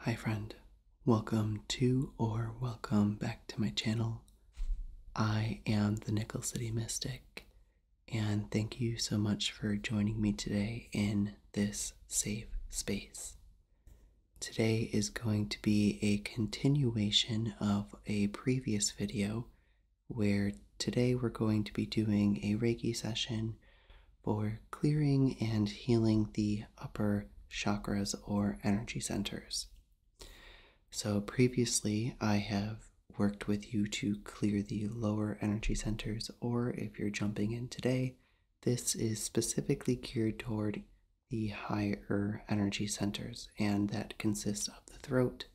Hi friend, welcome to or welcome back to my channel. I am the Nickel City Mystic, and thank you so much for joining me today in this safe space. Today is going to be a continuation of a previous video where today we're going to be doing a Reiki session for clearing and healing the upper chakras or energy centers. So, previously, I have worked with you to clear the lower energy centers, or if you're jumping in today, this is specifically geared toward the higher energy centers, and that consists the throat,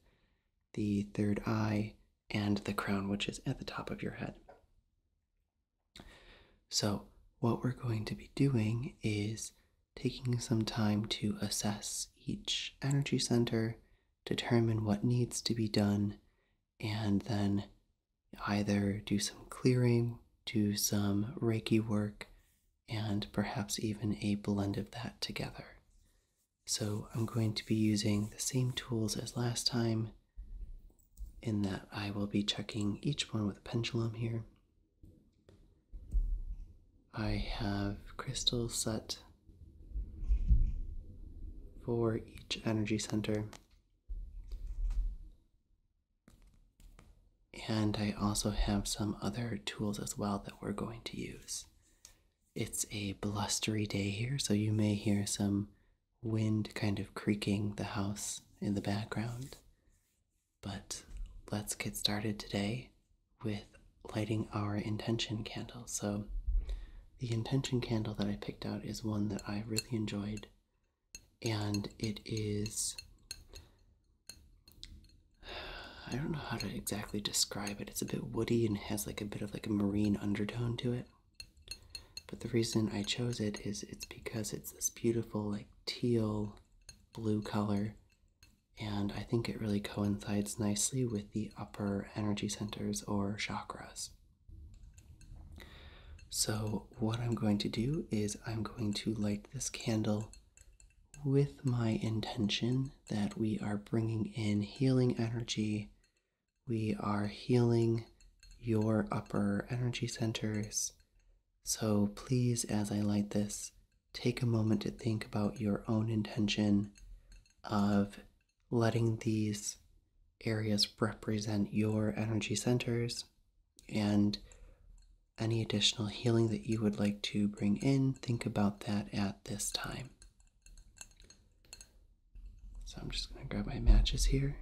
the third eye, and the crown, which is at the top of your head. So, what we're going to be doing is taking some time to assess each energy center, determine what needs to be done, and then either do some clearing, do some Reiki work, and perhaps even a blend of that together. So I'm going to be using the same tools as last time in that I will be checking each one with a pendulum here. I have crystals set for each energy center. And I also have some other tools as well that we're going to use. It's a blustery day here, so you may hear some wind kind of creaking the house in the background. But let's get started today with lighting our intention candle. So, the intention candle that I picked out is one that I really enjoyed, and it is I don't know how to exactly describe it. It's a bit woody and has like a bit of like a marine undertone to it. But the reason I chose it is it's because it's this beautiful like teal blue color and I think it really coincides nicely with the upper energy centers or chakras. So what I'm going to do is I'm going to light this candle with my intention that we are bringing in healing energy. We are healing your upper energy centers. So please, as I light this, take a moment to think about your own intention of letting these areas represent your energy centers and any additional healing that you would like to bring in, think about that at this time. So I'm just going to grab my matches here.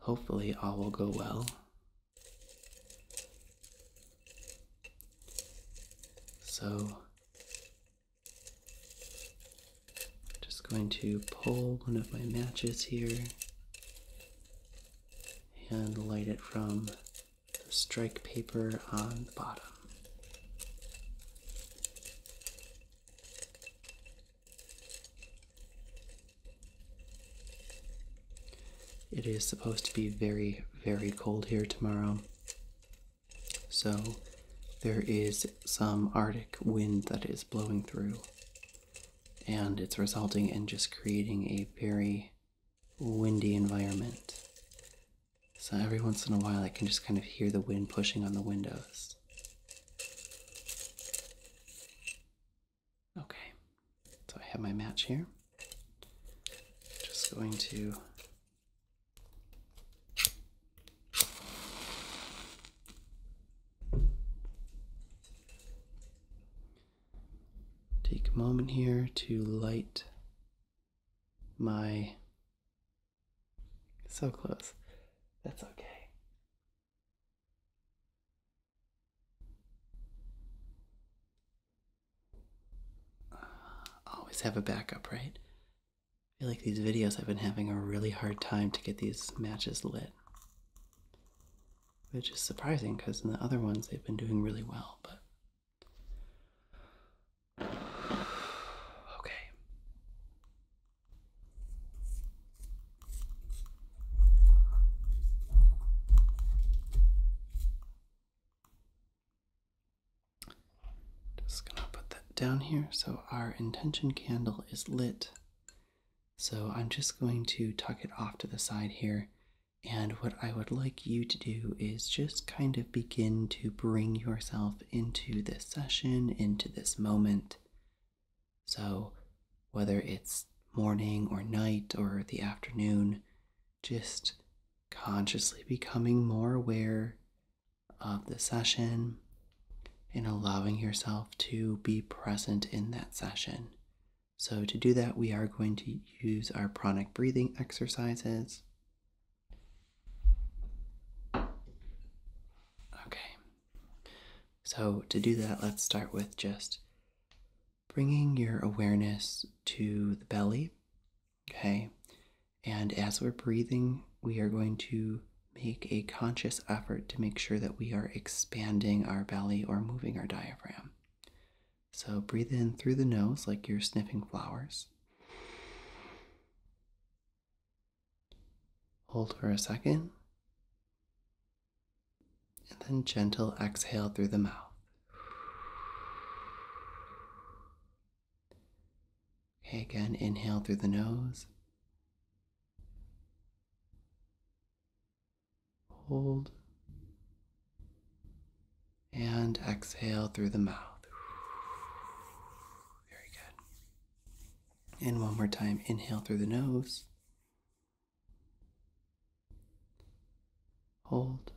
Hopefully, all will go well. So, just going to pull one of my matches here and light it from the strike paper on the bottom. It is supposed to be very, very cold here tomorrow. So there is some Arctic wind that is blowing through and it's resulting in just creating a very windy environment. So every once in a while, I can just kind of hear the wind pushing on the windows. Okay, so I have my match here. Just going to Take a moment here to light my. So close. That's okay. Uh, always have a backup, right? I feel like these videos I've been having a really hard time to get these matches lit which is surprising because in the other ones they've been doing really well, but. Okay. Just gonna put that down here. So our intention candle is lit so I'm just going to tuck it off to the side here. And what I would like you to do is just kind of begin to bring yourself into this session, into this moment. So, whether it's morning or night or the afternoon, just consciously becoming more aware of the session and allowing yourself to be present in that session. So to do that, we are going to use our pranic breathing exercises. Okay, so to do that, let's start with just bringing your awareness to the belly. Okay, and as we're breathing, we are going to make a conscious effort to make sure that we are expanding our belly or moving our diaphragm. So breathe in through the nose like you're sniffing flowers. Hold for a second. And then gentle exhale through the mouth. Okay, again, inhale through the nose. Hold. And exhale through the mouth. Very good. And one more time, inhale through the nose. Hold.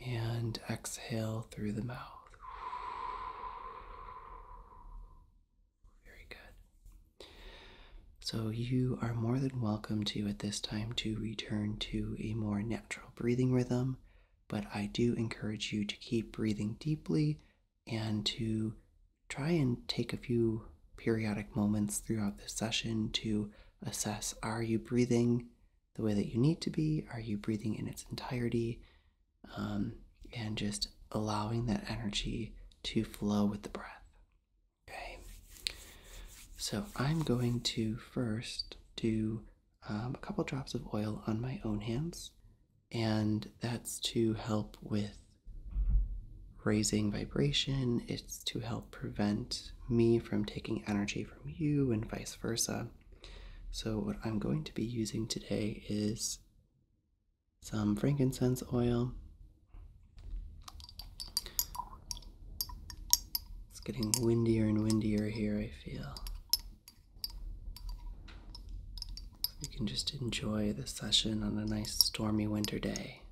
And exhale through the mouth. Very good. So, you are more than welcome to at this time to return to a more natural breathing rhythm, but I do encourage you to keep breathing deeply and to try and take a few periodic moments throughout the session to assess are you breathing the way that you need to be? Are you breathing in its entirety? Um, and just allowing that energy to flow with the breath. Okay, so I'm going to first do um, a couple drops of oil on my own hands, and that's to help with raising vibration, it's to help prevent me from taking energy from you, and vice versa. So, what I'm going to be using today is some frankincense oil. It's getting windier and windier here, I feel. We can just enjoy the session on a nice stormy winter day.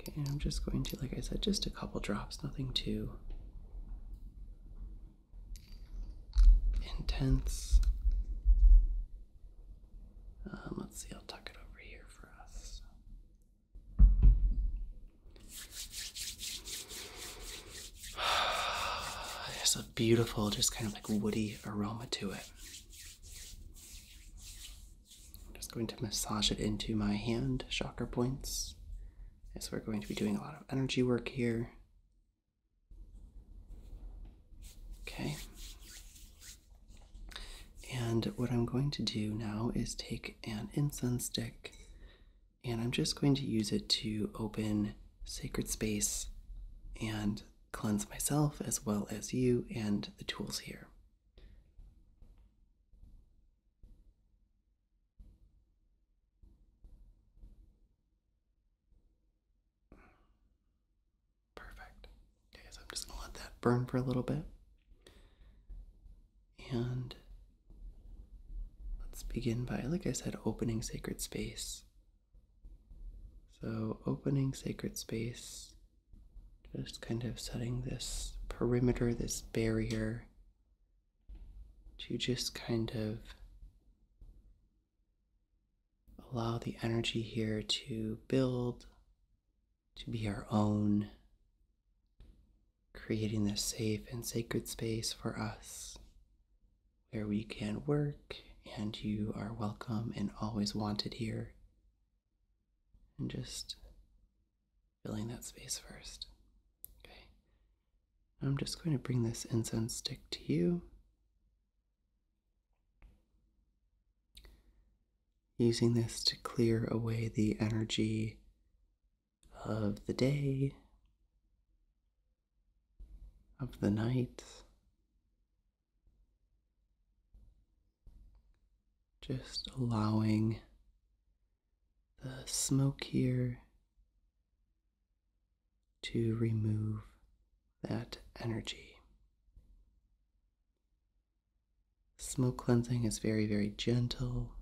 Okay, and I'm just going to, like I said, just a couple drops, nothing too intense. Um, let's see, I'll tuck it over here for us. There's a beautiful, just kind of like woody aroma to it. I'm just going to massage it into my hand chakra points as we're going to be doing a lot of energy work here. Okay. And what I'm going to do now is take an incense stick and I'm just going to use it to open sacred space and cleanse myself as well as you and the tools here. Perfect. Okay, so I'm just gonna let that burn for a little bit. And let's begin by, like I said, opening sacred space. So, opening sacred space, just kind of setting this perimeter, this barrier to just kind of Allow the energy here to build, to be our own, creating this safe and sacred space for us where we can work and you are welcome and always wanted here. And just filling that space first. Okay. I'm just going to bring this incense stick to you. Using this to clear away the energy of the day, of the night. Just allowing the smoke here to remove that energy. Smoke cleansing is very, very gentle.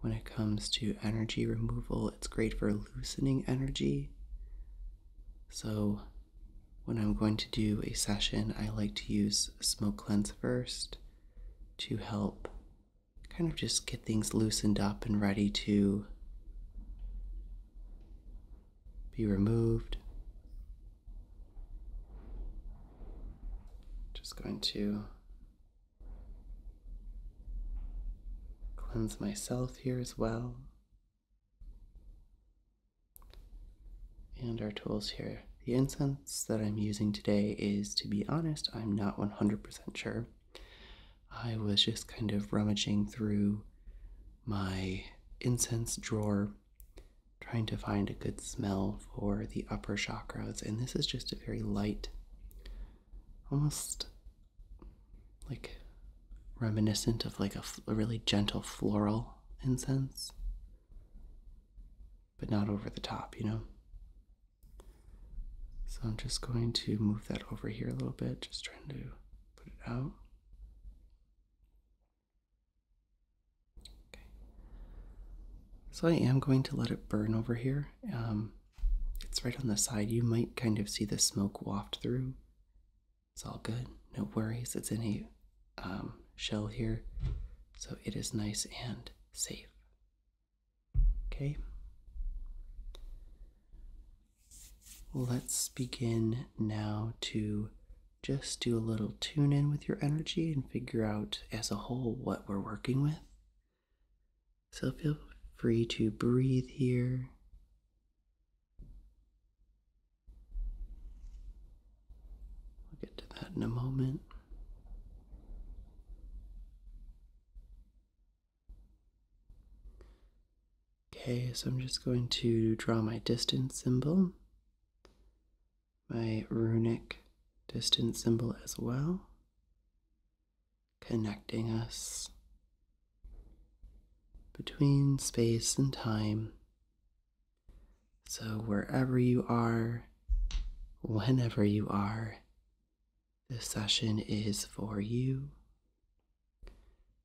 When it comes to energy removal, it's great for loosening energy. So, when I'm going to do a session, I like to use smoke cleanse first to help kind of just get things loosened up and ready to be removed. Just going to cleanse myself here as well. And our tools here. The incense that I'm using today is, to be honest, I'm not 100% sure. I was just kind of rummaging through my incense drawer, trying to find a good smell for the upper chakras, and this is just a very light, almost like reminiscent of like a, really gentle floral incense, but not over the top, you know? So I'm just going to move that over here a little bit, just trying to put it out. Okay. So I am going to let it burn over here. Um, it's right on the side. You might kind of see the smoke waft through. It's all good. No worries. It's any um, shell here, so it is nice and safe. Okay let's begin now to just do a little tune in with your energy and figure out as a whole what we're working with. So feel free to breathe here. We'll get to that in a moment. Okay, so I'm just going to draw my distance symbol, my runic distance symbol as well, connecting us between space and time. So wherever you are, whenever you are, this session is for you.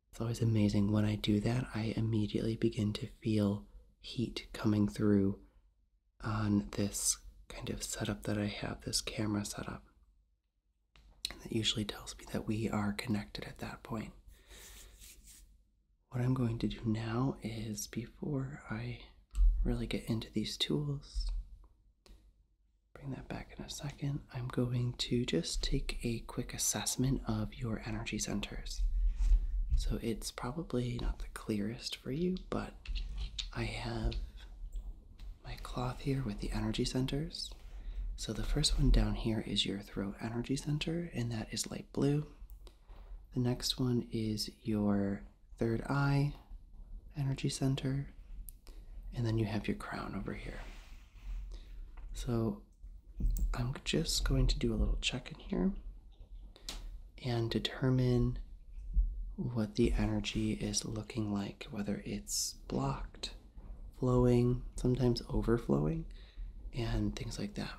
It's always amazing when I do that, I immediately begin to feel heat coming through on this kind of setup that I have, this camera setup. And that usually tells me that we are connected at that point. What I'm going to do now is before I really get into these tools, Bring that back in a second. I'm going to just take a quick assessment of your energy centers. So it's probably not the clearest for you, but I have my cloth here with the energy centers. So the first one down here is your throat energy center, and that is light blue. The next one is your third eye energy center, and then you have your crown over here. So I'm just going to do a little check in here and determine what the energy is looking like, whether it's blocked, flowing, sometimes overflowing, and things like that.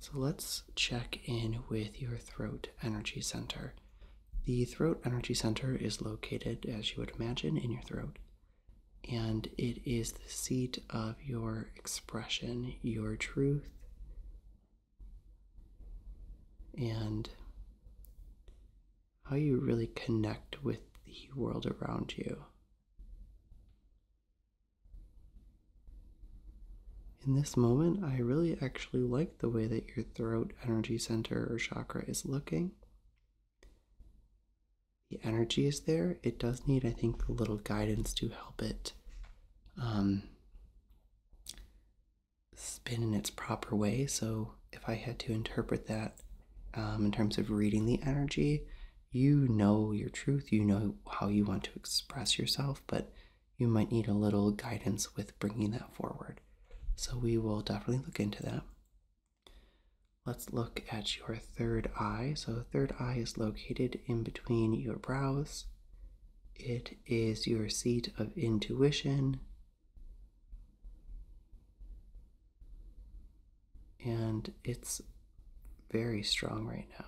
So let's check in with your throat energy center. The Throat Energy Center is located, as you would imagine, in your throat, and it is the seat of your expression, your truth, and how you really connect with the world around you. In this moment, I really actually like the way that you're throat energy center or chakra is looking. The energy is there. It does need, I think, a little guidance to help it um, spin in its proper way. So, if I had to interpret that um, in terms of reading the energy, you know your truth, you know how you want to express yourself, but you might need a little guidance with bringing that forward. So we will definitely look into that. Let's look at your third eye. So, third eye is located in between your brows. It is your seat of intuition. And it's very strong right now.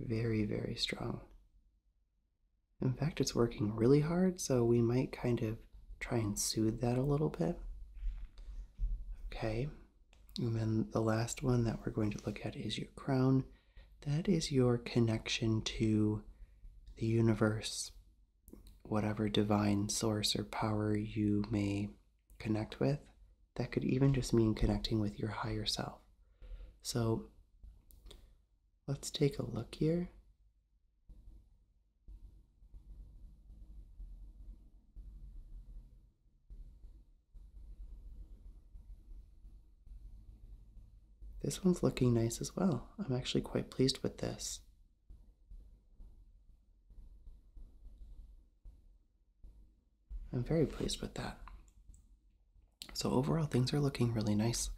Very, very strong. In fact, it's working really hard, so we might kind of try and soothe that a little bit. Okay, and then the last one that we're going to look at is your crown. That is your connection to the universe, whatever divine source or power you may connect with. That could even just mean connecting with your higher self. So let's take a look here. This one's looking nice as well. I'm actually quite pleased with this. I'm very pleased with that. So, overall, things are looking really nice.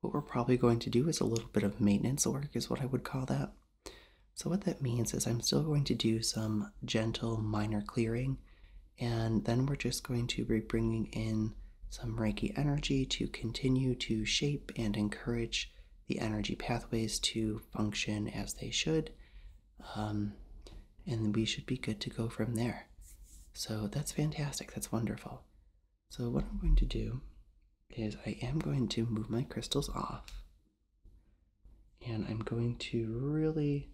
What we're probably going to do is a little bit of maintenance work, is what I would call that. So, what that means is I'm still going to do some gentle minor clearing, and then we're just going to be bringing in some Reiki energy to continue to shape and encourage the energy pathways to function as they should. Um, and we should be good to go from there. So that's fantastic. That's wonderful. So what I'm going to do is I am going to move my crystals off and I'm going to really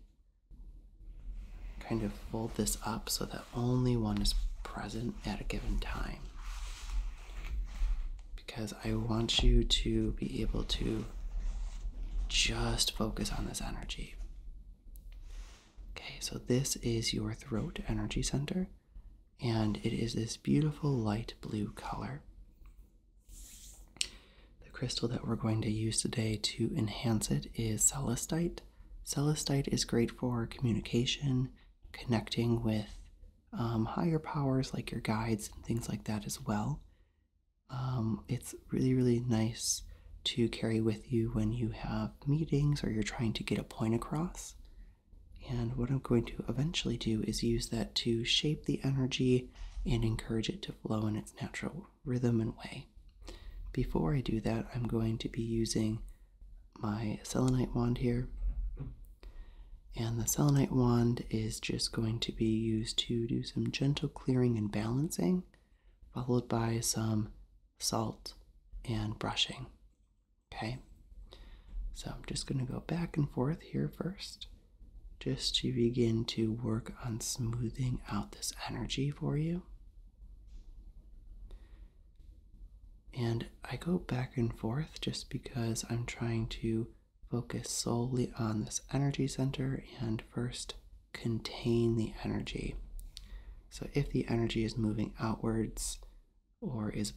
kind of fold this up so that only one is present at a given time because I want you to be able to just focus on this energy. Okay, so this is your throat energy center, and it is this beautiful light blue color. The crystal that we're going to use today to enhance it is celestite. Celestite is great for communication, connecting with um, higher powers like your guides and things like that as well. Um, it's really, really nice to carry with you when you have meetings or you're trying to get a point across. And what I'm going to eventually do is use that to shape the energy and encourage it to flow in its natural rhythm and way. Before I do that, I'm going to be using my selenite wand here. And the selenite wand is just going to be used to do some gentle clearing and balancing followed by some salt and brushing. Okay, so I'm just going to go back and forth here first, just to begin to work on smoothing out this energy for you. And I go back and forth just because I'm trying to focus solely on this energy center and first contain the energy. So if the energy is moving outwards or is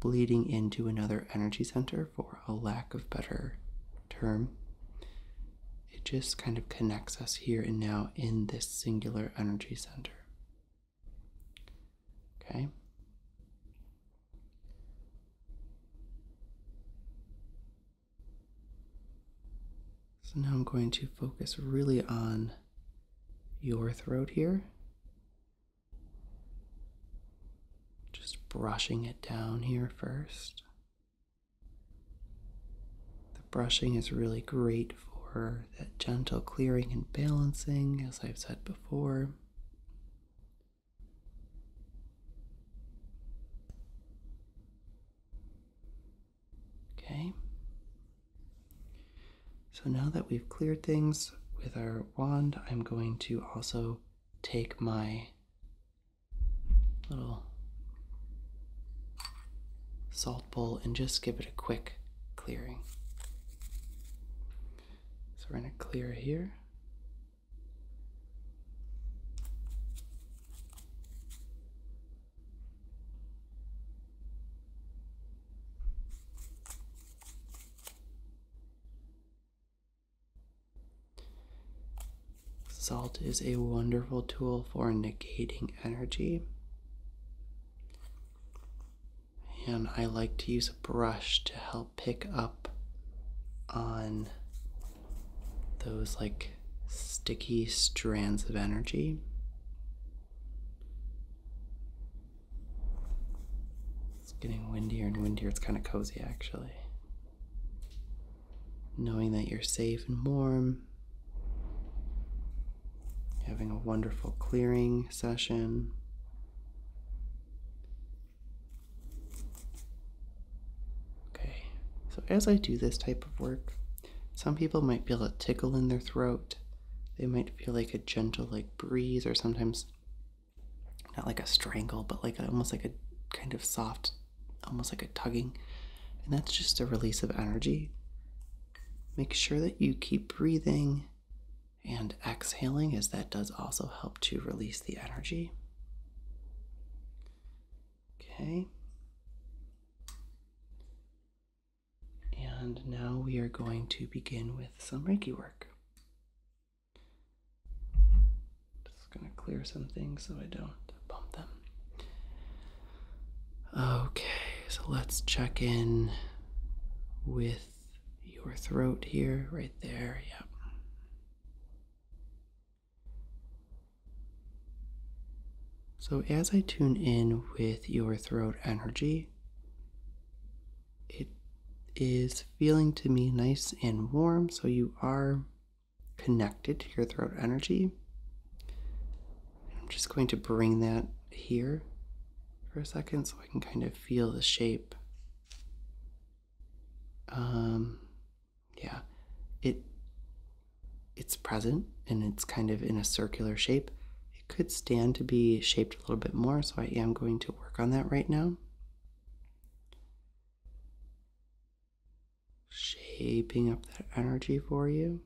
bleeding into another energy center, for a lack of better term, it just kind of connects us here and now in this singular energy center. Okay. So now I'm going to focus really on your throat here. Just brushing it down here first. The brushing is really great for that gentle clearing and balancing, as I've said before. Okay. So now that we've cleared things with our wand, I'm going to also take my little salt bowl and just give it a quick clearing. So we're going to clear here. Salt is a wonderful tool for negating energy. And I like to use a brush to help pick up on those like sticky strands of energy. It's getting windier and windier. It's kind of cozy actually. Knowing that you're safe and warm, having a wonderful clearing session. Okay, so as I do this type of work, some people might feel a tickle in their throat. They might feel like a gentle like breeze or sometimes not like a strangle, but like almost like a kind of soft, almost like a tugging. And that's just a release of energy. Make sure that you keep breathing and exhaling, as that does also help to release the energy. Okay. And now we are going to begin with some Reiki work. Just going to clear some things so I don't bump them. Okay, so let's check in with your throat here, right there. Yep. So, as I tune in with your throat energy, it is feeling to me nice and warm, so you are connected to your throat energy. I'm just going to bring that here for a second so I can kind of feel the shape. Um, yeah it it's present and it's kind of in a circular shape it could stand to be shaped a little bit more so i am going to work on that right now shaping up that energy for you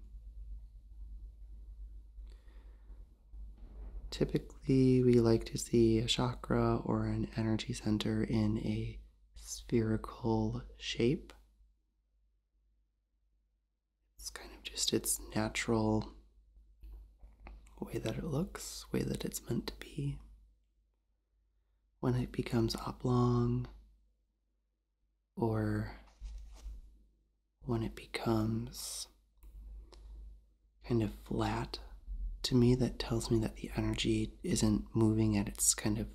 typically we like to see a chakra or an energy center in a spherical shape it's kind of just its natural way that it looks, way that it's meant to be. When it becomes oblong, or when it becomes kind of flat, to me, that tells me that the energy isn't moving at its kind of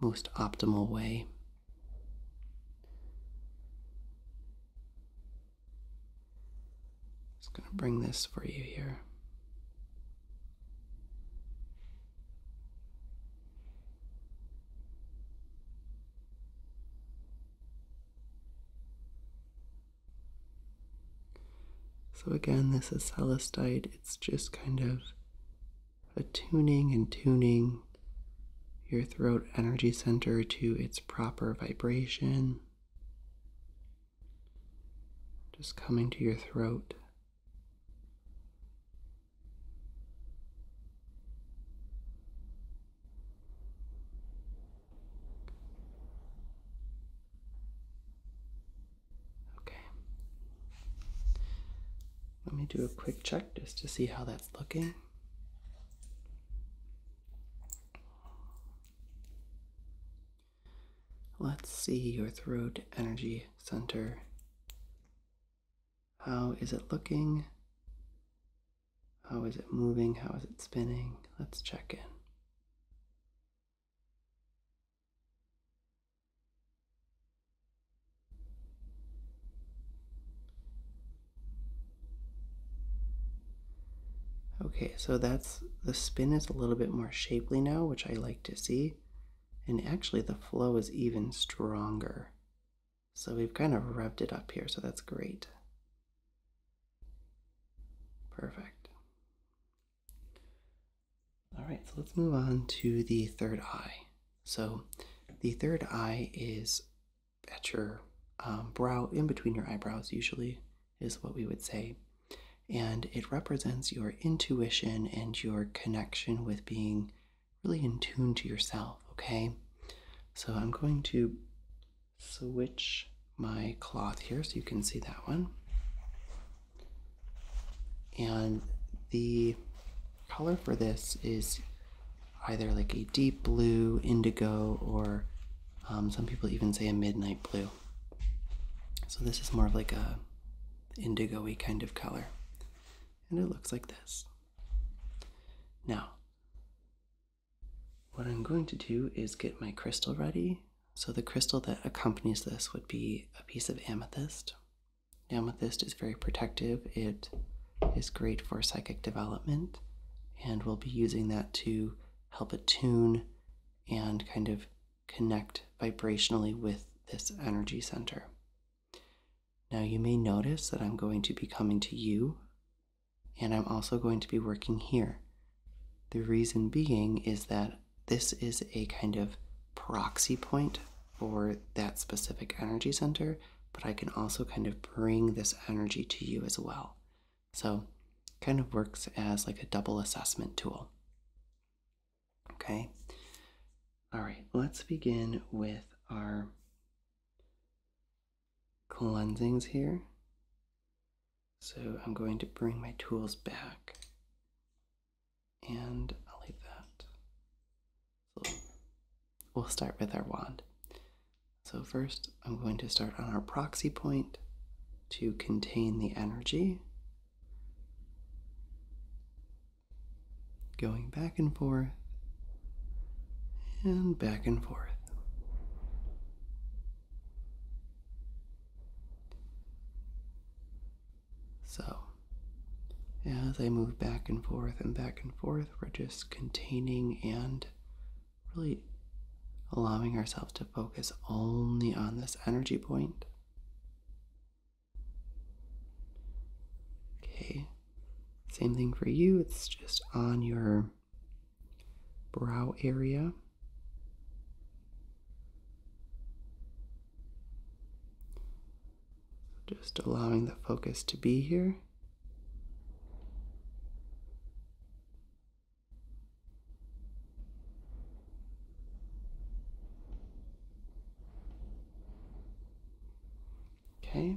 most optimal way. Just going to bring this for you here. So again, this is celestite. It's just kind of attuning and tuning your throat energy center to its proper vibration. Just coming to your throat. Okay. Let me do a quick check just to see how that's looking. Let's see your throat energy center. How is it looking? How is it moving? How is it spinning? Let's check in. Okay, so that's the spin is a little bit more shapely now, which I like to see. And actually the flow is even stronger. So we've kind of revved it up here, so that's great. Perfect. All right, so let's move on to the third eye. So, the third eye is at your um, brow, in between your eyebrows, usually is what we would say. And it represents your intuition and your connection with being really in tune to yourself, okay? So, I'm going to switch my cloth here so you can see that one. And the color for this is either like a deep blue, indigo, or um, some people even say a midnight blue. So this is more of like a indigo-y kind of color. And it looks like this. Now, what I'm going to do is get my crystal ready. So the crystal that accompanies this would be a piece of amethyst. Amethyst is very protective. It is great for psychic development, and we'll be using that to help attune and kind of connect vibrationally with this energy center. Now, you may notice that I'm going to be coming to you, and I'm also going to be working here. The reason being is that this is a kind of proxy point for that specific energy center, but I can also kind of bring this energy to you as well. So, kind of works as like a double assessment tool. Okay. All right, let's begin with our cleansings here. So, I'm going to bring my tools back and I'll leave that. So we'll start with our wand. So first I'm going to start on our proxy point to contain the energy. Going back and forth and back and forth. So, as I move back and forth and back and forth, we're just containing and really allowing ourselves to focus only on this energy point. Okay, same thing for you, it's just on your brow area. Just allowing the focus to be here. Okay.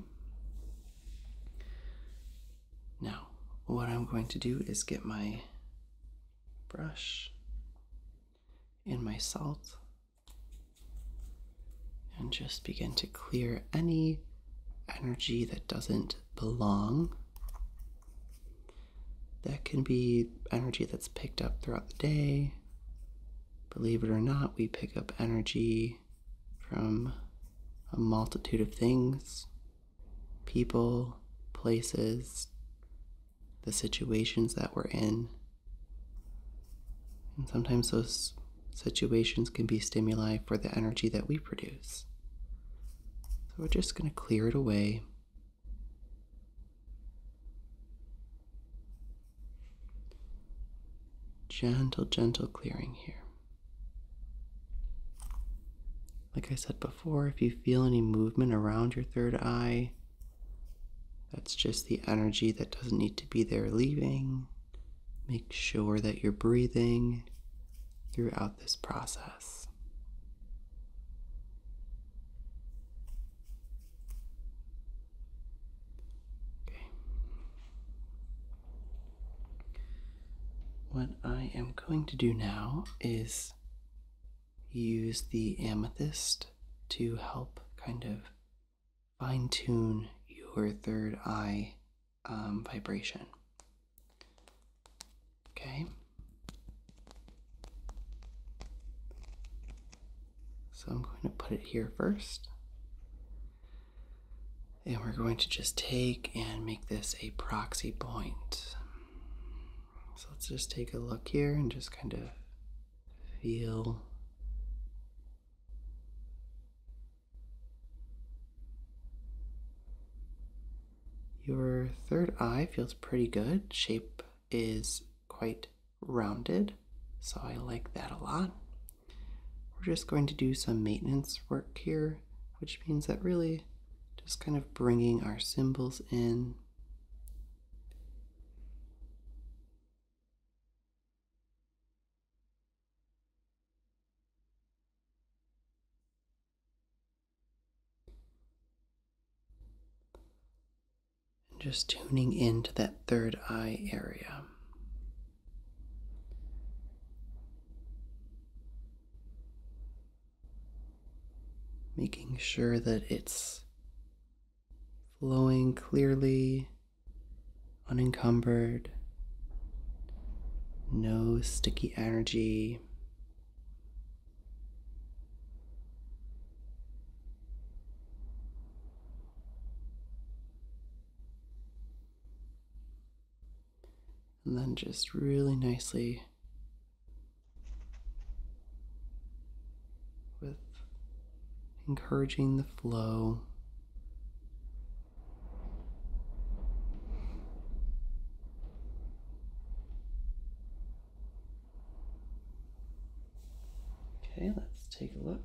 Now, what I'm going to do is get my brush in my salt and just begin to clear any energy that doesn't belong. That can be energy that's picked up throughout the day. Believe it or not, we pick up energy from a multitude of things people, places, the situations that we're in. And sometimes those situations can be stimuli for the energy that we produce. So we're just going to clear it away. Gentle, gentle clearing here. Like I said before, if you feel any movement around your third eye, that's just the energy that doesn't need to be there leaving. Make sure that you're breathing throughout this process. Okay. What I am going to do now is use the amethyst to help kind of fine tune your third eye um, vibration. Okay. So I'm going to put it here first. And we're going to just take and make this a proxy point. So let's just take a look here and just kind of feel Your third eye feels pretty good. Shape is quite rounded, so I like that a lot. We're just going to do some maintenance work here, which means that really just kind of bringing our symbols in and just tuning into that third eye area making sure that it's flowing clearly, unencumbered, no sticky energy. And then just really nicely with encouraging the flow. Okay, let's take a look.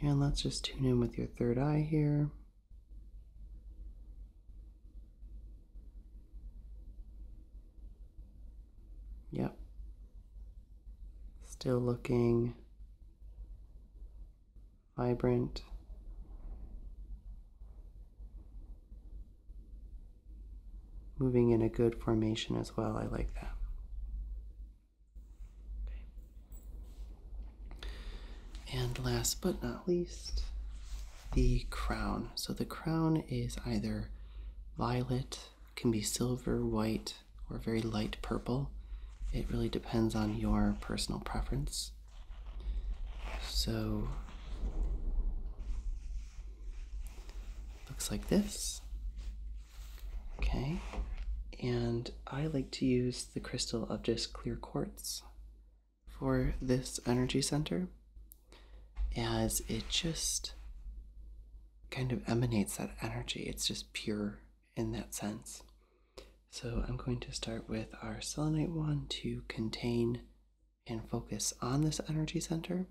And let's just tune in with your third eye here. Yep. Still looking vibrant. Moving in a good formation as well. I like that. And last but not least, the crown. So the crown is either violet, can be silver, white, or very light purple. It really depends on your personal preference. So looks like this. Okay, and I like to use the crystal of just clear quartz for this energy center as it just kind of emanates that energy. It's just pure in that sense. So I'm going to start with our selenite one to contain and focus on this energy center,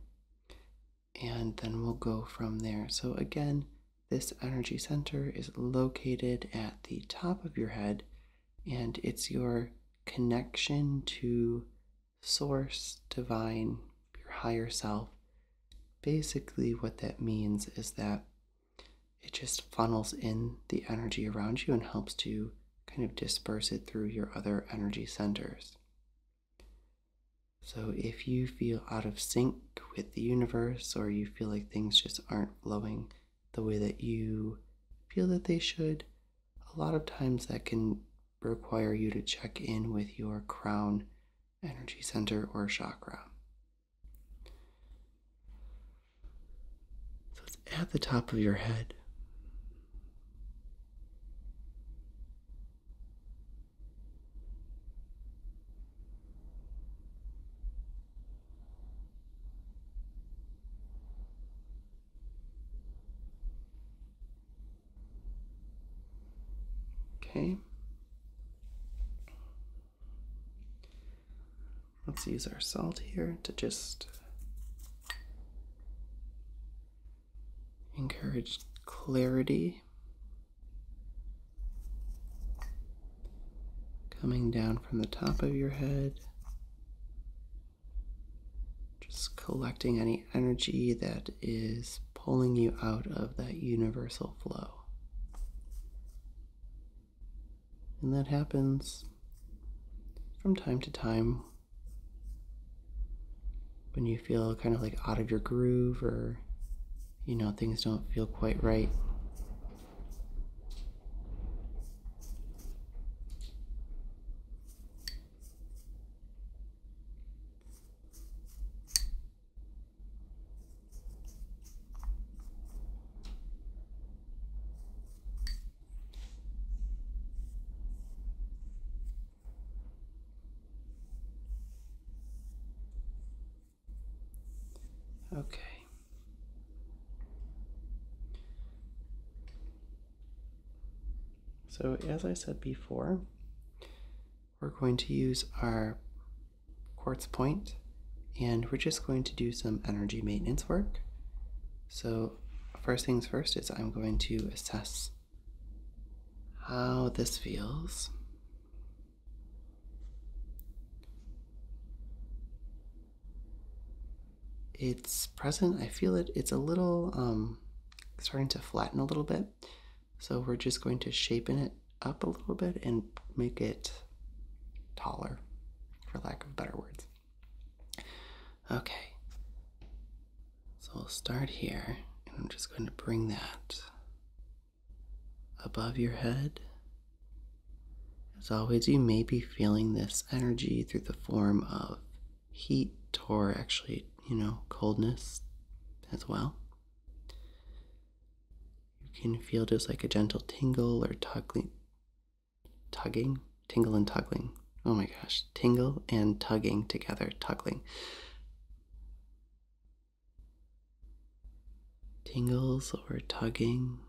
and then we'll go from there. So, again, this energy center is located at the top of your head, and it's your connection to source, divine, your higher self. Basically, what that means is that it just funnels in the energy around you and helps to kind of disperse it through your other energy centers. So, if you feel out of sync sync with the universe or you feel like things just aren't flowing the way that you feel that they should, a lot of times that can require you to check in with your crown energy center or chakra. So it's at the top of your head. Okay. Let's use our salt here to just encourage clarity Coming down from the top of your head, just collecting any energy that is pulling you out of that universal flow. And that happens from time to time when you feel kind of like out of your groove or you know, things don't feel quite right. Okay. So, as I said before, we're going to use our quartz point and we're just going to do some energy maintenance work. So, first things first is I'm going to assess how this feels. It's present. I feel it. It's a little um, starting to flatten a little bit. So we're just going to shapen it up a little bit and make it taller, for lack of better words. Okay. So we'll start here, and I'm just going to bring that above your head. As always, you may be feeling this energy through the form of heat or actually, you know, coldness as well. You can feel just like a gentle tingle or tugging, tugging, tingle and tugging. Oh my gosh, tingle and tugging together, tugging tingles or tugging.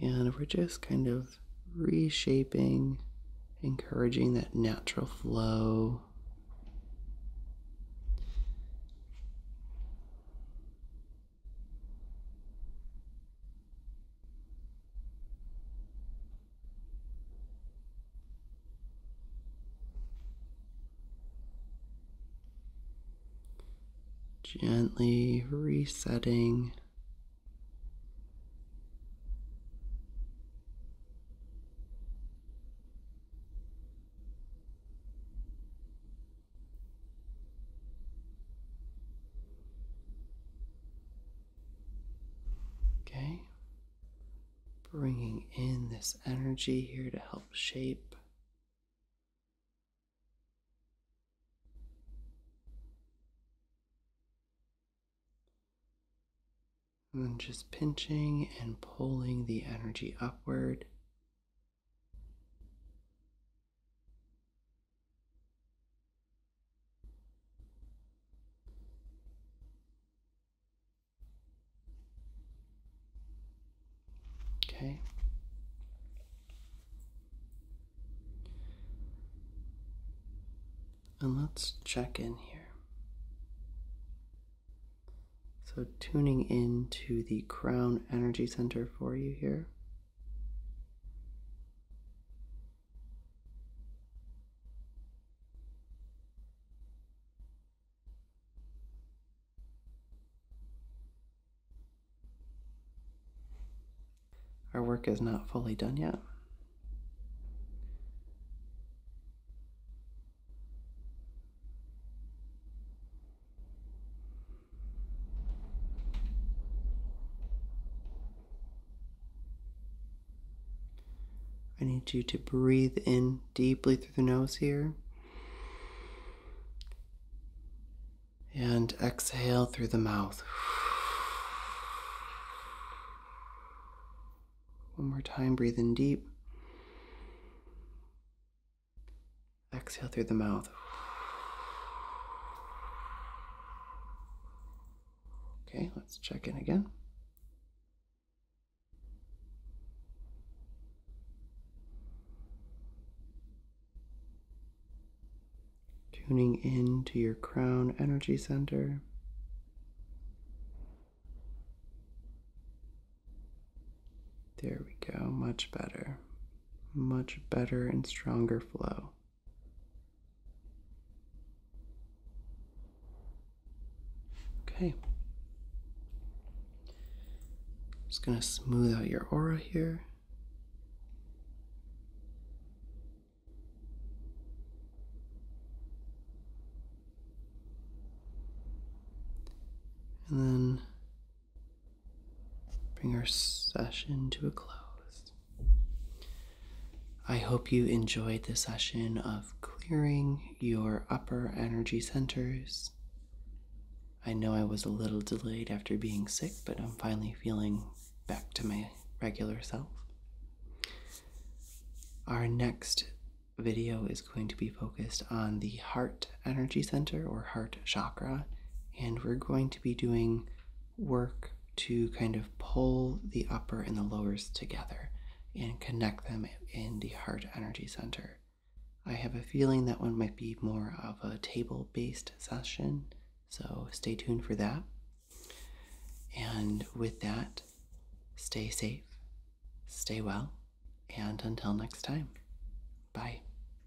And we're just kind of reshaping, encouraging that natural flow. Gently resetting Okay, bringing in this energy here to help shape. And then just pinching and pulling the energy upward Okay. And let's check in here. So, tuning in to the crown energy center for you here. Our work is not fully done yet. I need you to breathe in deeply through the nose here. And exhale through the mouth. One more time, breathe in deep. Exhale through the mouth. Okay, let's check in again. Tuning in to your crown energy center. There we go, much better much better and stronger flow. Okay. Just going to smooth out your aura here. And then bring our session to a close. I hope you enjoyed the session of clearing your upper energy centers. I know I was a little delayed after being sick, but I'm finally feeling back to my regular self. Our next video is going to be focused on the heart energy center or heart chakra, and we're going to be doing work to kind of pull the upper and the lowers together and connect them in the heart energy center. I have a feeling that one might be more of a table based session, so stay tuned for that. And with that, stay safe, stay well, and until next time, bye.